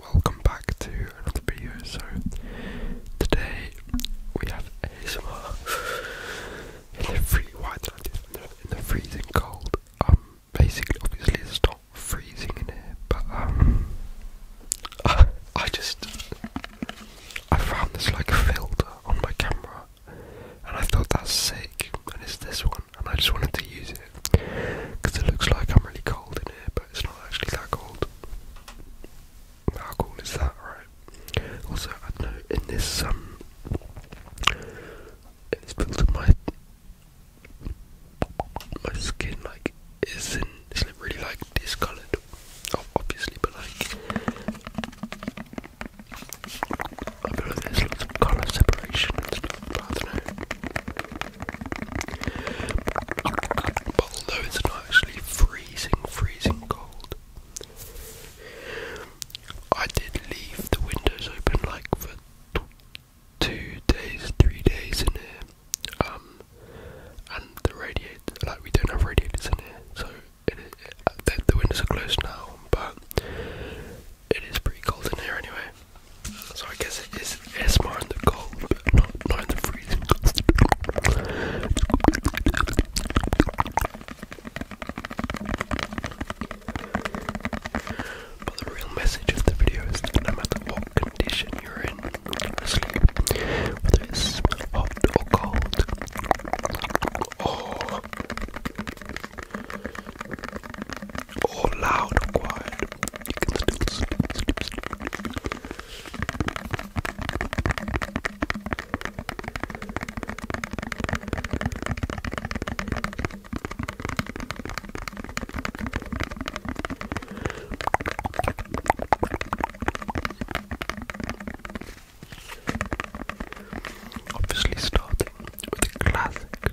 Welcome back to another video. So today we have ASMR in the free why I do freezing cold. Um basically obviously it's not freezing in here, but um I, I just I found this like filter on my camera and I thought that's sick and it's this one and I just wanted to use it because it looks like I'm really cold in here, but it's not actually that cold. How cold is that, right? Also, I know in this um, in this filter, my my skin like isn't isn't really like discolored. Oh, obviously, but like I feel like there's lots of colour separation and stuff, but I don't know although it's not actually freezing, freezing cold, I did leave the windows open like for two days, three days in here. Um, and the radiators. like we don't have radiators in here, so it, uh, the windows are closed now. But it is pretty cold in here anyway. So I guess it is it's more in the cold, but not not in the freezing. But the real message of the video is that no matter what condition you're in, whether it's hot or cold, or loud or quiet. You can still Obviously, starting with a classic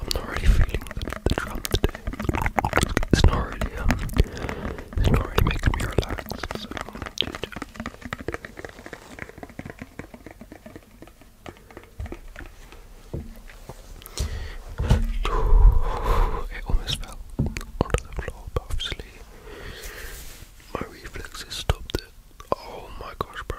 I'm not really feeling the, drum today. It's not really, um, it's not really making me relaxed. Um, it almost fell onto the floor, obviously my reflexes stopped it. Oh my gosh, bro.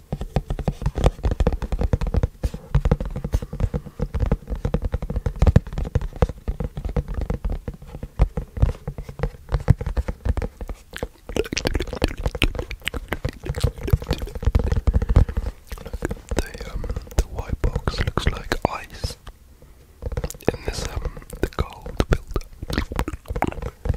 The um the white box looks like ice. And this um the gold build up.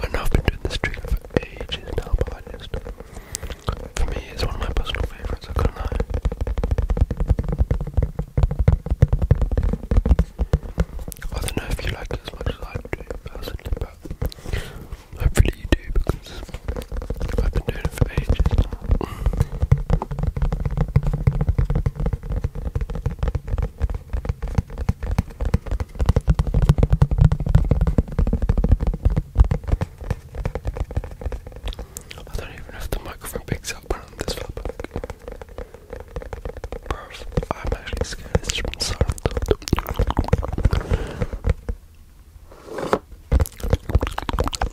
I know I've been doing this trigger for ages now, but I just, for me, it's one of my personal favourites, I can't lie. I don't know if you like it as much as I do personally, but hopefully you do because I've been doing it for ages I don't even know the microphone picks up I'm this far I'm actually scared it's from sorry.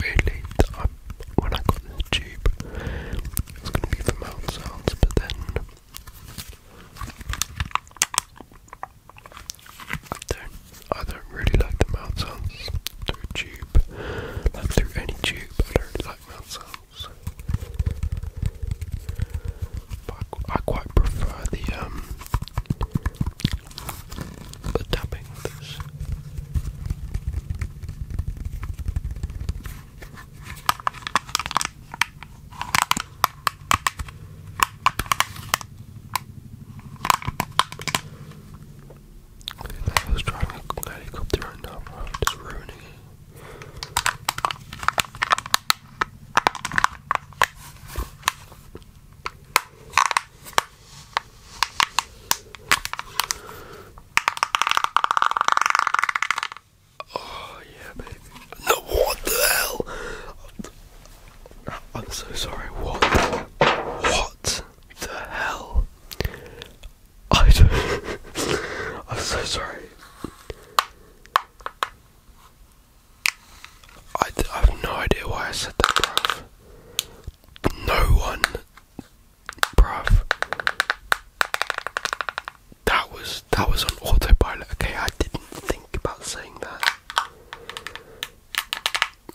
Weirdly, I'm, um, when I got the tube, it going to be for mouth but then. I don't really like the mouth sounds through a tube. Like through any tube, I don't like mouth sounds. But I, quite prefer the um the tapping I was driving a helicopter right now, bro. Just ruining it. Oh, yeah, baby. No, what the hell? I'm so sorry. What? What? the hell? I don't I'm so sorry. I, I have no idea why I said that, bruv. No one, bruv. That was that was on autopilot. Okay, I didn't think about saying that.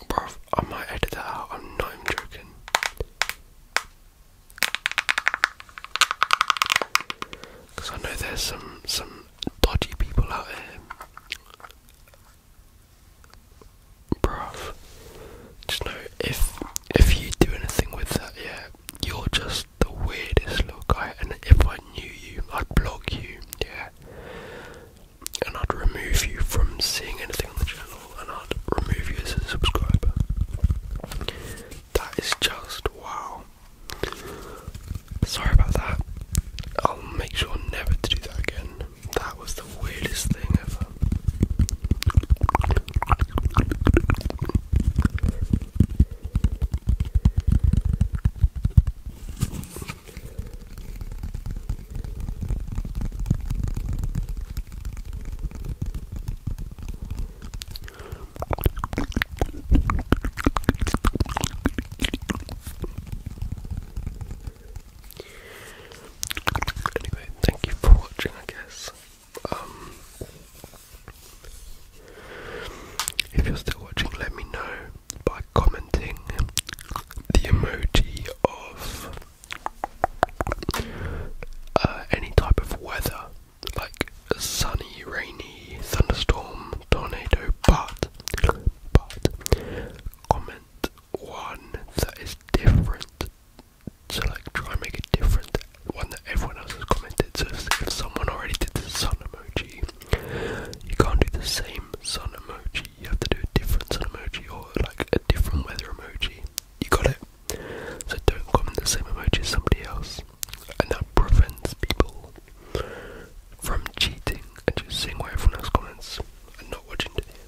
Bro, I might edit that out. I'm not even joking. Because I know there's some some dodgy people out there. Bro, just know if if you do anything with that, yeah, you're just the weirdest look. guy. And if I knew you, I'd block you. Yeah, and I'd remove you from seeing anything on the channel and I'd remove you as a subscriber. That is just wow. Sorry about that. I'll make sure never to do that again. That was the weirdest thing ever. Anyway, thank you for watching, I guess. Um, if you're still watching, let me know Bye commenting the emoji of uh, any type of weather, like sunny, rainy, thunderstorm, tornado, but but comment one that is different. So like try and make it different one that everyone else has commented. So if someone already did the sun emoji, you can't do the same sun emoji. You have to do a different sun emoji or like a different weather emoji. You got it? So don't comment the same emoji as somebody else. And that prevents people from cheating and just seeing what everyone else comments and not watching to the end.